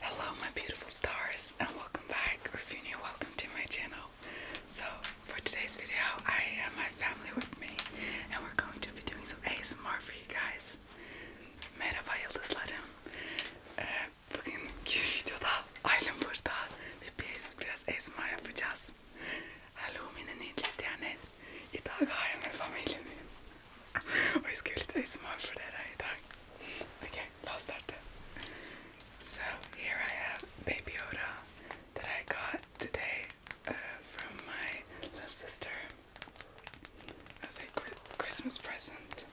Hello, my beautiful stars, and welcome back, or if you're new, welcome to my channel. So, for today's video, I have my family with me, and we're going to be doing some ASMR for you guys. Merhaba yıldızlarım. Ee, eh, bugünkü videoda ailem burada ve biz biraz ASMR yapacağız. Hallo mine nydelige stjerner. I dag har jeg med familien min. Og jeg skulle litt ASMR for dere i dag. Ok, la oss starte. So here I have Baby Yoda that I got today uh, from my little sister as a cr Christmas present.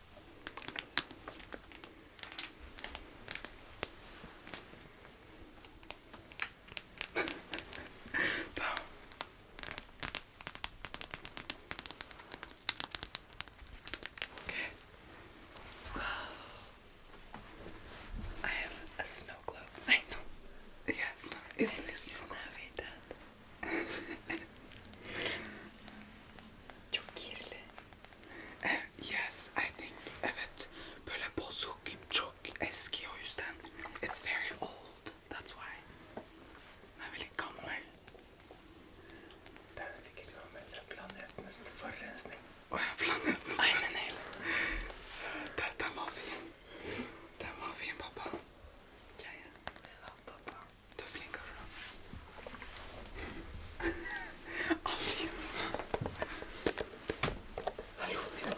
I have a snow globe. I know. Yeah, it's not. It's, it's, yes, I think. Evet. It's very old. That's why. Jag vill komma Där fick du använda planetens förrensning. Åh, planetens förrensning. Den, den var fin. Den var fin pappa. Ja, ja. Ja, pappa. Du är flink och bra. Alldeles. Hallå, det var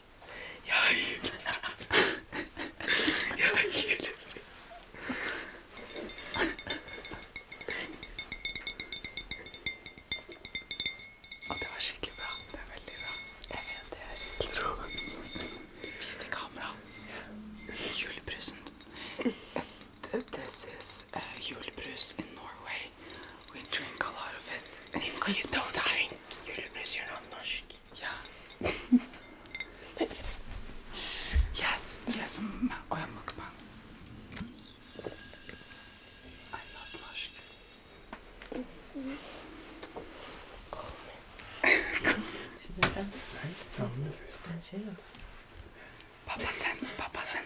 Jag julas. Jag julas. Og det var skikkelig bra. Det er veldig bra. Jeg vet det er intro. kamera. Julebrusen. This is uh, julebrus in Norway we drink a lot of it. And if you don't time. drink, yürümüz yaranlaşık. Yeah. yes, yes, oya oh, mukbang. I love Lushk. Şimdi sen. Ben tamam Ben şey yap. Baba sen, baba sen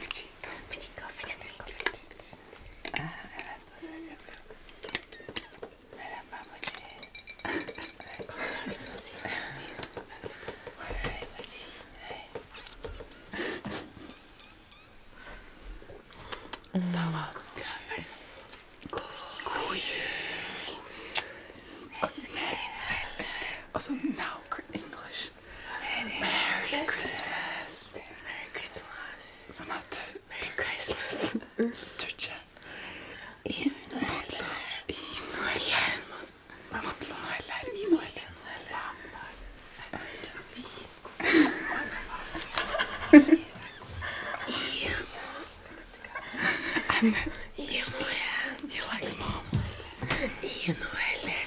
Petit petit Ah, evet o ses yapıyor. Merhaba Mati. Egzersiz yapıyoruz. Hey Mati. Hey. Tamam. Okay, let's go. Also now for English much. Merry, Merry Christmas. Christmas. Merry Christmas. Sanatı Merry Christmas. Türkçe. İyi Mutlu. İyi Noeller. Mutlu Noeller. İyi Noeller. Anne. İyi Noeller. He likes mom. İyi Noeller.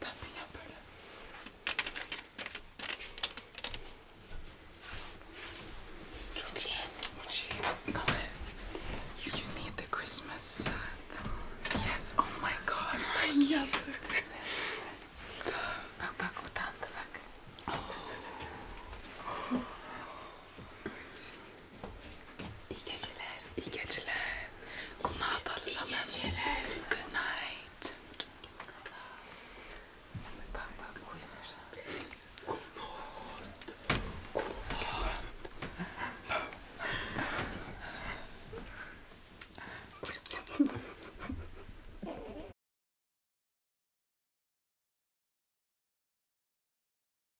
Tamping un peu You need the Christmas set. Yes, oh my god. So yes. Bak bak utandı bak. Oh. İyi geceler. İyi geceler. Good night. İyi geceler. Good night. Bak bak uyumuş. Good night. Good night.